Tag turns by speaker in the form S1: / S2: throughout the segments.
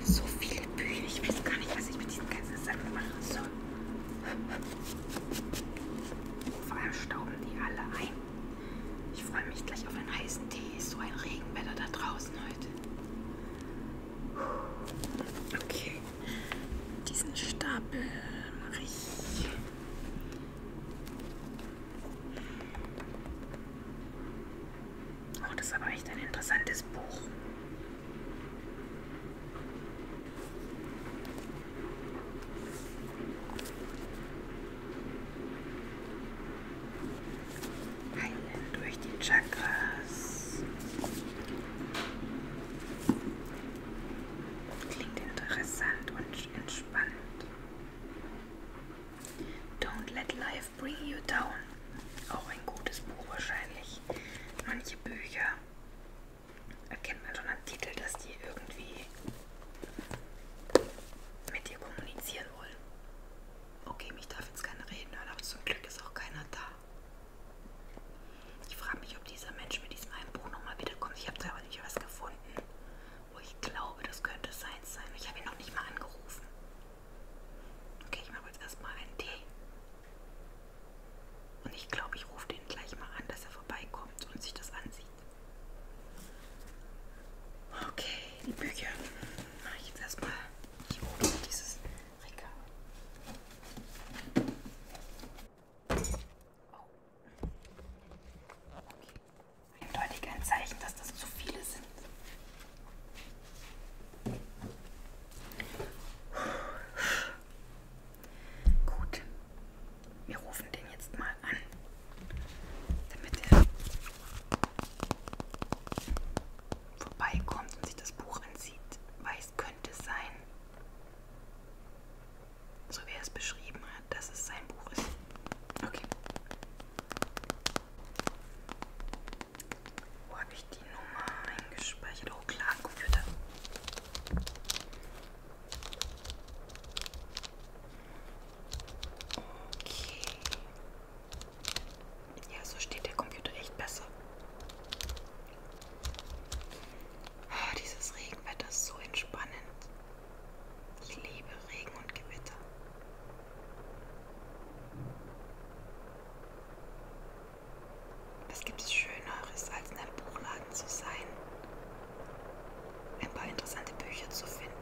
S1: So viele Bücher, ich weiß gar nicht, was ich mit diesen ganzen Sachen machen soll. Vor allem stauben die alle ein. Ich freue mich gleich auf einen heißen Tee. Ist so ein Regenwetter da draußen heute. Okay. Diesen Stapel mache ich. Oh, das ist aber echt ein interessantes Buch heilen durch die Chakras. Klingt interessant und entspannend. Don't let life bring you down. Auch ein gutes Buch wahrscheinlich. Manche Bücher erkennt man schon am Titel, dass die irgendwie mit dir kommunizieren wollen. Okay, mich darf jetzt keiner reden hören, aber zum Glück ist auch keiner da. Ich frage mich, ob dieser Mensch mit diesem einen Buch nochmal wiederkommt. Ich habe da aber nicht was gefunden, wo ich glaube, das könnte seins sein. Ich habe ihn noch nicht mal angerufen. Okay, ich mache jetzt erstmal einen Tee. Und ich glaube, ich rufe den gleich mal an, dass er vorbeikommt und sich das ansieht. Okay, die Bücher. Na, jetzt erstmal. Ich hole dieses Regal. Oh. Okay. Eindeutig ein Zeichen, dass das zu viele sind. Gut. Wir rufen den jetzt mal an damit er vorbeikommt und sich das Buch ansieht, weil es könnte sein, so wie er es beschrieben hat, dass es sein Buch ist. Okay. Wo habe ich die Nummer eingespeichert? Oh klar, am Computer. Okay. Ja, so steht der Computer echt besser. Oh, dieses Regenwetter ist so entspannend. Ich liebe Regen und Gewitter. Was gibt es Schöneres, als in einem Buchladen zu sein ein paar interessante Bücher zu finden,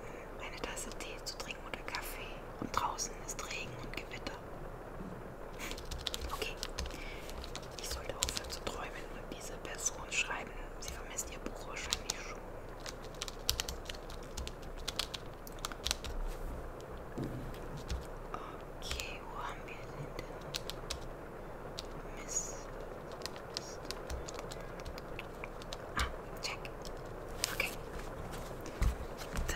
S1: eine Tasse Tee zu trinken oder Kaffee. Und draußen ist Regen und Gewitter. Okay, ich sollte aufhören zu träumen und diese Person schreiben. Sie vermisst ihr Buch wahrscheinlich schon. Okay, wo haben wir den denn? Mist. Mist. Ah, check. Okay. Then what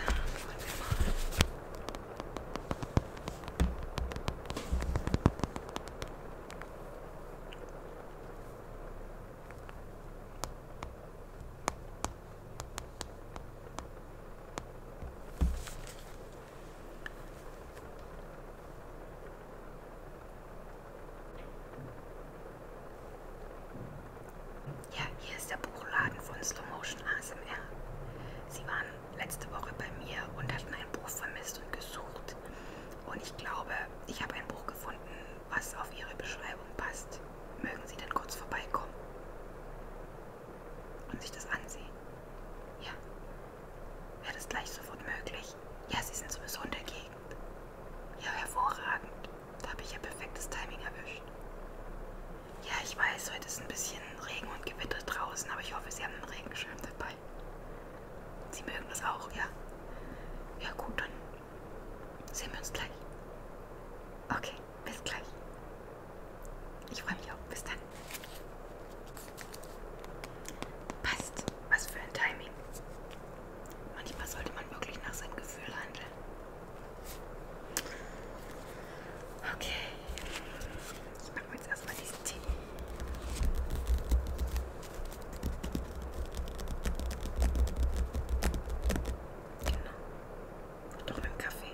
S1: Ja, hier ist der Buchladen von Slow Motion ASMR. Sie waren letzte Woche bei mir und hatten ein Buch vermisst und gesucht. Und ich glaube, ich habe ein Buch gefunden, was auf Ihre Beschreibung passt. Mögen Sie denn kurz vorbeikommen und sich das ansehen? Ja, Wäre das gleich sofort möglich? Ja, Sie sind sowieso in der Gegend. Ja, hervorragend. Da habe ich ja perfektes Timing erwischt. Ja, ich weiß, heute ist ein bisschen Regen und Gewitter draußen, aber ich hoffe, Sie haben einen Regenschirm dabei. Sie mögen das auch, ja? Ja, gut, dann sehen wir uns gleich. Okay, bis gleich. Ich freue mich auch. Bis dann. Passt. Was für ein Timing. Manchmal sollte man wirklich nach seinem Gefühl handeln. Okay. Ich mache mir jetzt erstmal diesen Tee. Genau. Doch mit dem Kaffee.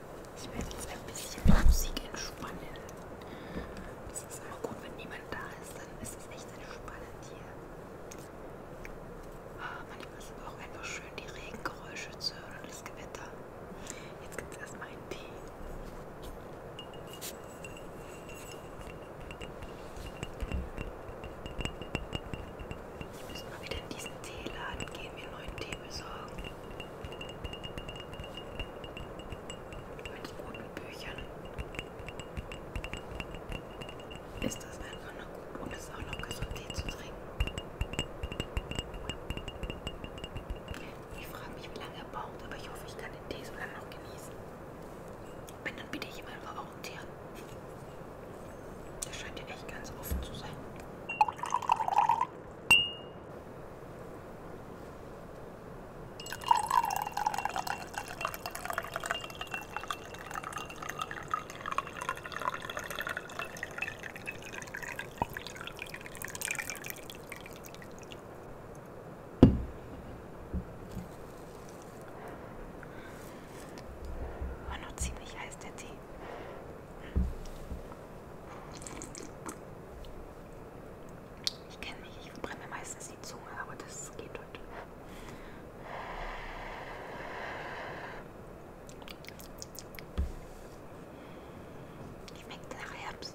S1: Ich werde jetzt ein bisschen mit Musik entspannen. Das ist immer gut, wenn niemand da ist, dann ist es echt entspannend hier. Ah, manchmal ist aber auch einfach schön, die Regengeräusche zu hören und das Gewitter. Jetzt gibt es erstmal einen Tee. Ich muss mal wieder in diesen Teeladen gehen, mir neuen Tee besorgen. Mit roten Büchern. Ist das einfach nur gut und ist auch noch gesund Tee zu trinken. Ich frage mich, wie lange er braucht, aber ich hoffe, ich kann den Tee so lange noch genießen. Wenn, dann bitte ich ihm einfach auch einen Tee das scheint ja echt ganz offen zu sein. War noch ziemlich heiß der Tee. Ich kenne mich, ich brenne meistens die Zunge, aber das geht heute. Schmeckt nach Herbst.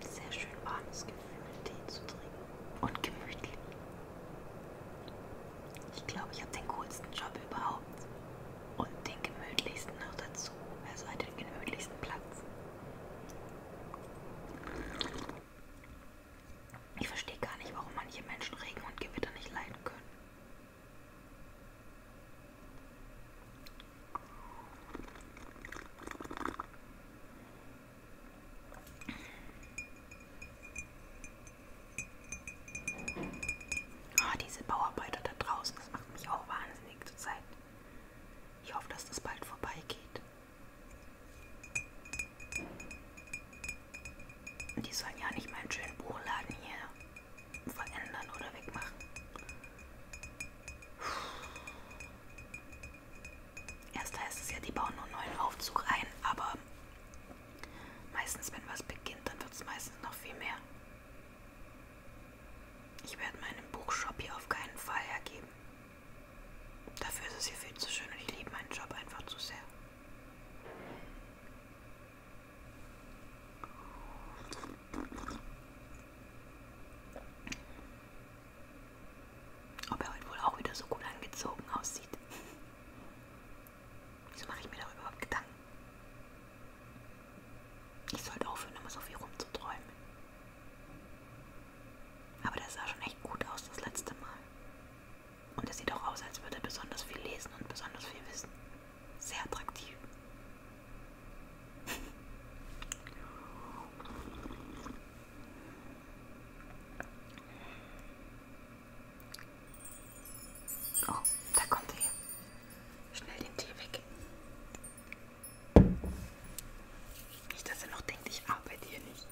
S1: Sehr schön warmes Gefühl. Tee zu trinken und gemütlich. Ich glaube, ich habe den coolsten Job überhaupt und den gemütlichsten noch dazu, also halt den gemütlichsten Platz. Ich verstehe gar nicht, warum manche Menschen Regen und Gewitter nicht leiden können. Oh, diese Bauarbeiter da draußen, das macht mich auch wahnsinnig zur Zeit. Ich hoffe, dass das bald vorbeigeht. Die sollen ja nicht meinen schönen Buchladen hier verändern oder wegmachen. Erst heißt es ja, die bauen nur neuen Aufzug ein, aber meistens, wenn was beginnt, dann wird es meistens noch viel mehr. Ich werde meinen Buchshop hier auf keinen Fall hergeben. Dafür ist es hier viel zu schön und ich liebe meinen Job einfach zu sehr. Ob er heute wohl auch wieder so gut angezogen aussieht. Wieso mache ich mir darüber überhaupt Gedanken? Ich sollte aufhören, immer so viel rumzuträumen. Aber das sah schon echt gut aus das letzte Mal. Und es sieht auch aus, als würde er besonders viel lesen und besonders viel wissen sehr attraktiv. Oh, da kommt er. Schnell den Tee weg. Nicht, dass er noch denkt, ich arbeite hier nicht.